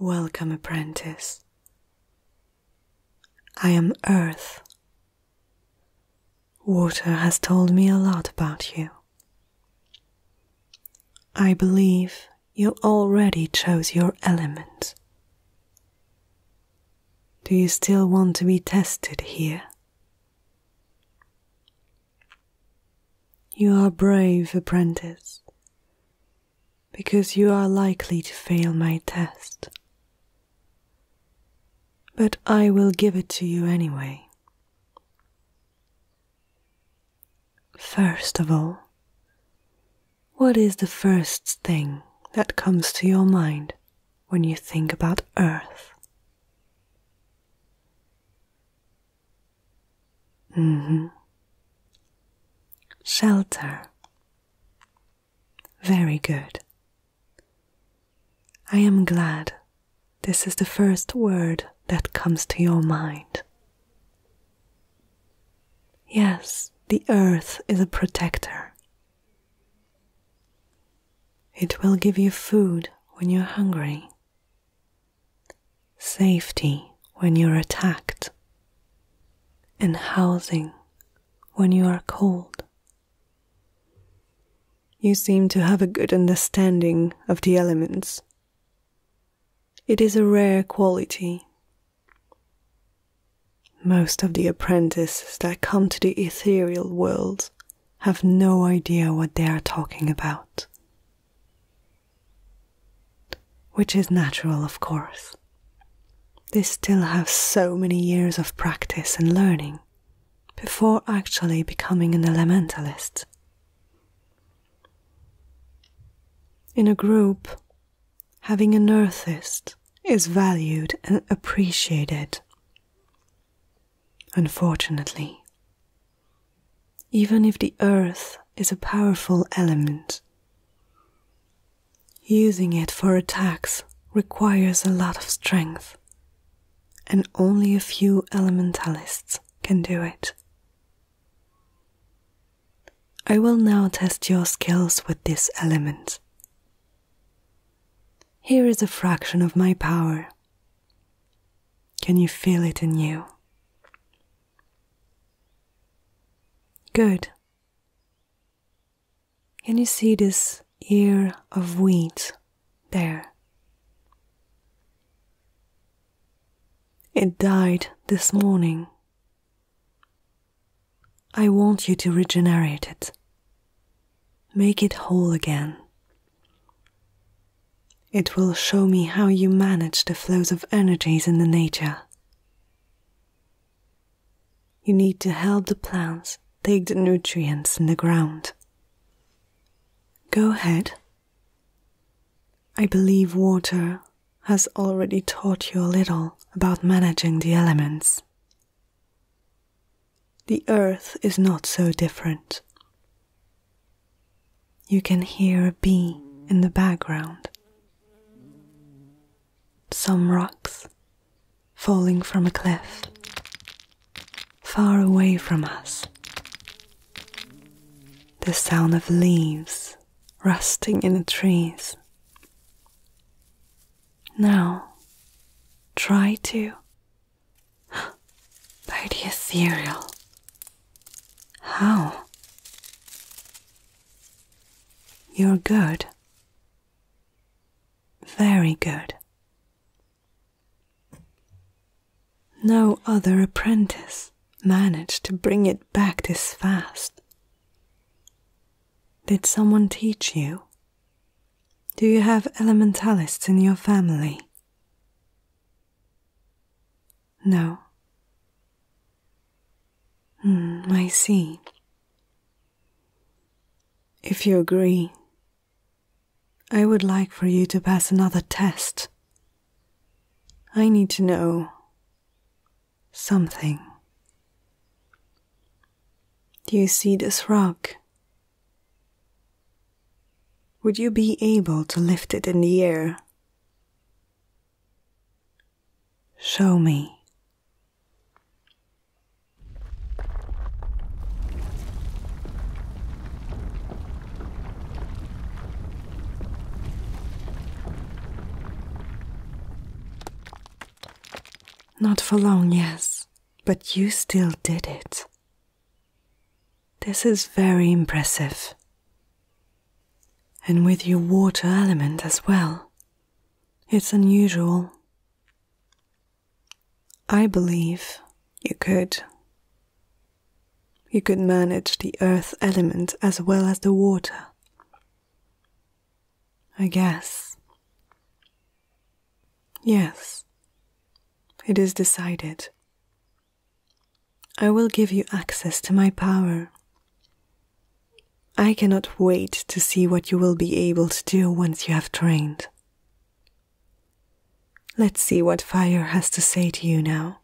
Welcome, apprentice. I am Earth. Water has told me a lot about you. I believe you already chose your element. Do you still want to be tested here? You are brave, apprentice, because you are likely to fail my test. But I will give it to you anyway. First of all, what is the first thing that comes to your mind when you think about Earth? Mm-hmm. Shelter. Very good. I am glad this is the first word that comes to your mind Yes, the earth is a protector. It will give you food when you're hungry, safety when you're attacked, and housing when you are cold. You seem to have a good understanding of the elements. It is a rare quality. Most of the apprentices that come to the ethereal world have no idea what they are talking about. Which is natural, of course. They still have so many years of practice and learning before actually becoming an elementalist. In a group, having an earthist is valued and appreciated. Unfortunately, even if the earth is a powerful element, using it for attacks requires a lot of strength, and only a few elementalists can do it. I will now test your skills with this element. Here is a fraction of my power. Can you feel it in you? Good. Can you see this ear of wheat there. It died this morning. I want you to regenerate it. Make it whole again. It will show me how you manage the flows of energies in the nature. You need to help the plants take the nutrients in the ground. Go ahead. I believe water has already taught you a little about managing the elements. The earth is not so different. You can hear a bee in the background some rocks falling from a cliff far away from us. The sound of leaves rusting in the trees. Now, try to. By the ethereal. How? You're good. Very good. No other apprentice managed to bring it back this fast. Did someone teach you? Do you have elementalists in your family? No. Hmm, I see. If you agree, I would like for you to pass another test. I need to know something. Do you see this rock? Would you be able to lift it in the air? Show me. Not for long, yes, but you still did it. This is very impressive and with your water element as well. It's unusual. I believe you could. You could manage the earth element as well as the water. I guess. Yes, it is decided. I will give you access to my power. I cannot wait to see what you will be able to do once you have trained. Let's see what fire has to say to you now.